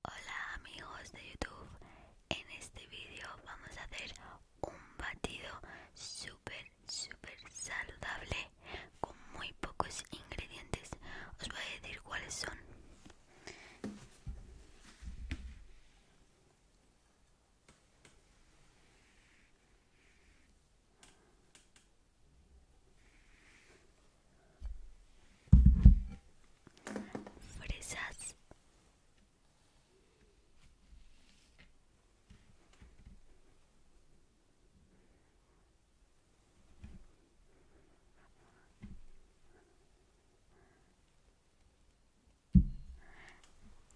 Hola amigos de YouTube, en este vídeo vamos a hacer un batido súper súper saludable con muy pocos ingredientes. Os voy a decir cuáles son fresas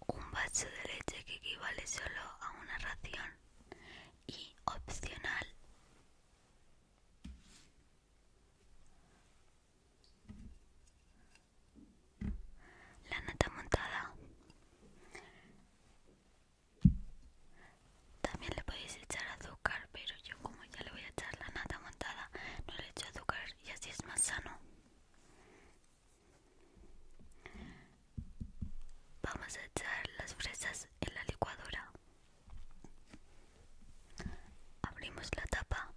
un vaso de leche que equivale solo a una ración y opcional la nata montada. También le podéis echar azúcar, pero yo como ya le voy a echar la nata montada, no le echo azúcar y así es más sano. Vamos a echar las fresas en la licuadora. Abrimos la tapa.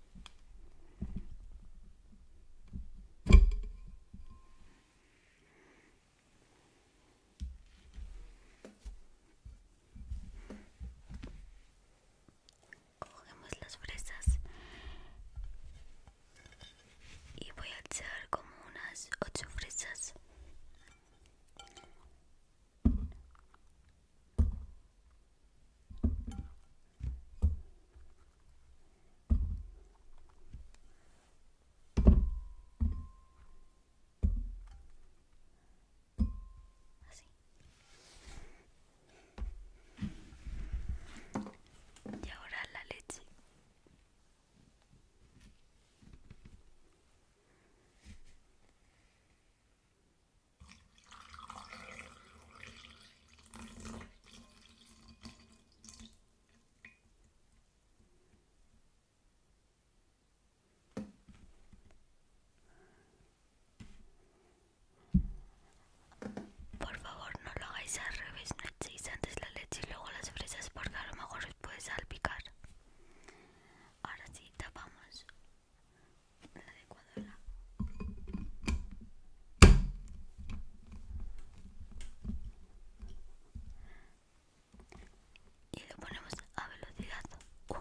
Cogemos las fresas y voy a echar como unas ocho fresas Así. Y ahora la leche. Por favor, no lo hagáis al revés, no echéis antes la leche y luego las fresas porque a lo mejor os puede salpicar. Ahora sí tapamos la licuadora. Y lo ponemos a velocidad 1.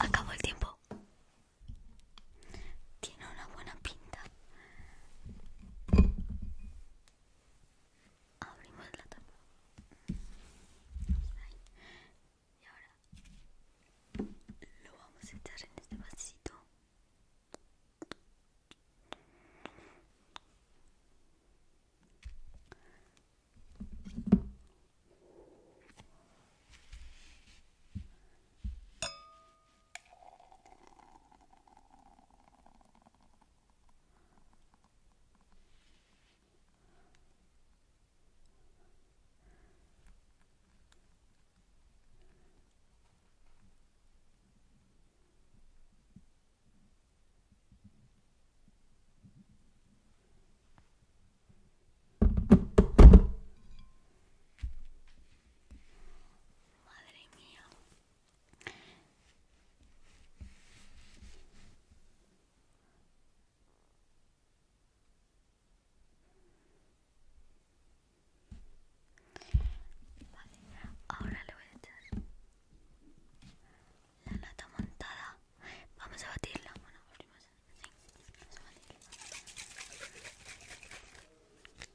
Acabó el tiempo. Tiene una buena pinta abrimos la tapa y ahora lo vamos a echar en este vasito Madre mía, Vale, ahora le voy a echar la nata montada. Vamos a batirla. Bueno, abrimos. Sí, vamos a batirla.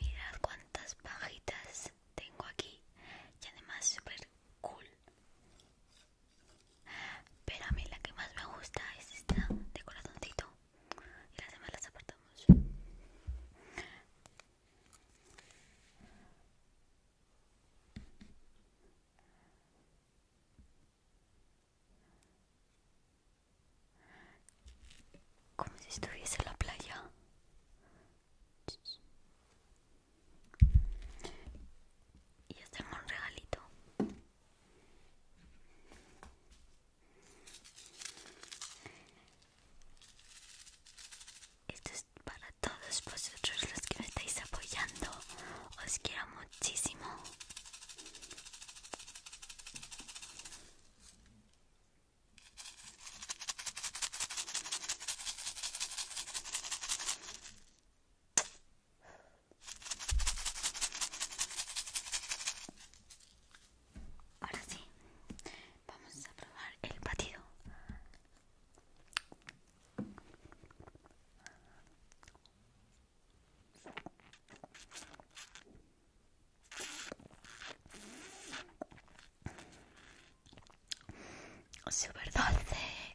Mirad cuántas pajitas tengo aquí y además super cool pero a mí la que más me gusta es esta de corazoncito. Y las demás las apartamos. Como si estuviese en la playa. Y hacemos un regalito. Esto es para todos vosotros los que me estáis apoyando. Os quiero muchísimo. Ahora sí, vamos a probar el batido. Super dulce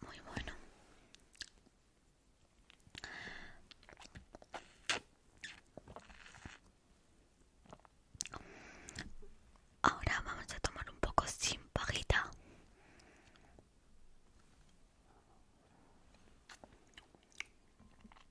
Muy bueno. Ahora vamos a tomar un poco sin pajita.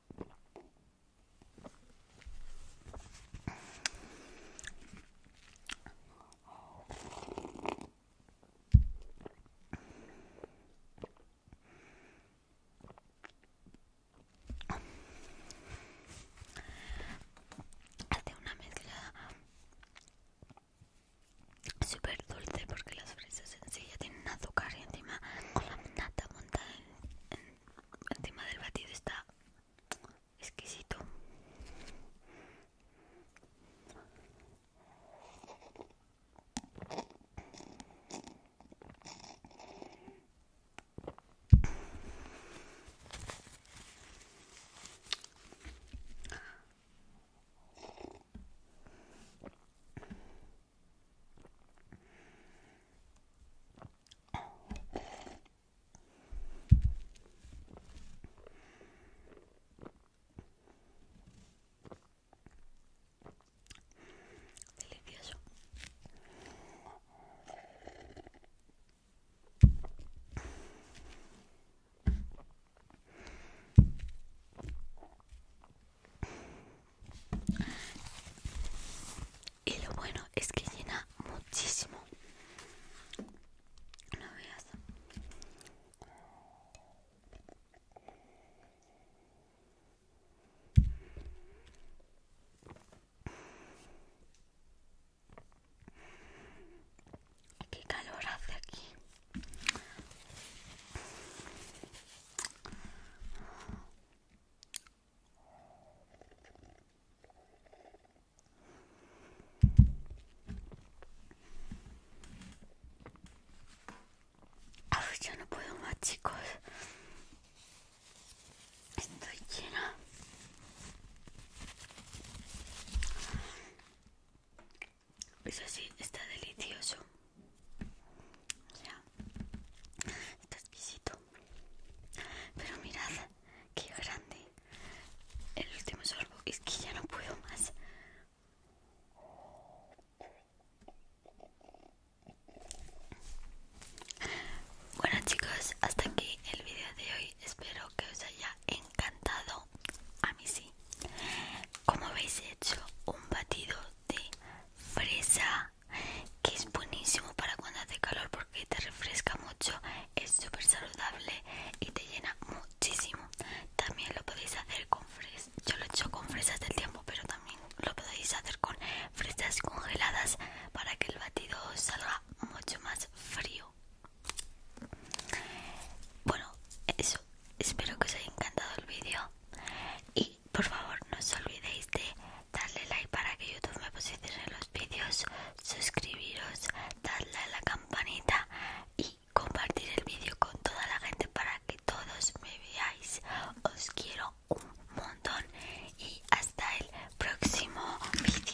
Hace una mezcla súper dulce porque las fresas en sí ya tienen azúcar y encima con la nata montada en el tema del batido está exquisito. Delicioso y lo bueno es que llena muchísimo no veas qué calor hace aquí ya yo no puedo más, chicos. Estoy llena. Eso sí, está delicioso. O está exquisito. Pero mirad, qué grande. El último sorbo es que ya no puedo más. Bueno chicos, hasta aquí el vídeo de hoy. Espero que os haya encantado. A mí sí. Como habéis hecho un batido de fresa, que es buenísimo para cuando hace calor porque te refresca mucho, es súper saludable y te llena muchísimo. También lo podéis hacer con fresas, yo lo he hecho con fresas del tiempo, pero también lo podéis hacer con fresas congeladas para que el batido salga mucho más frío. Bueno, eso, espero que os haya encantado el vídeo y por favor no os olvidéis de darle like para que YouTube me posicione los vídeos, suscribiros, darle a la campanita y compartir el vídeo con toda la gente para que todos me veáis. Os quiero un montón y hasta el próximo vídeo.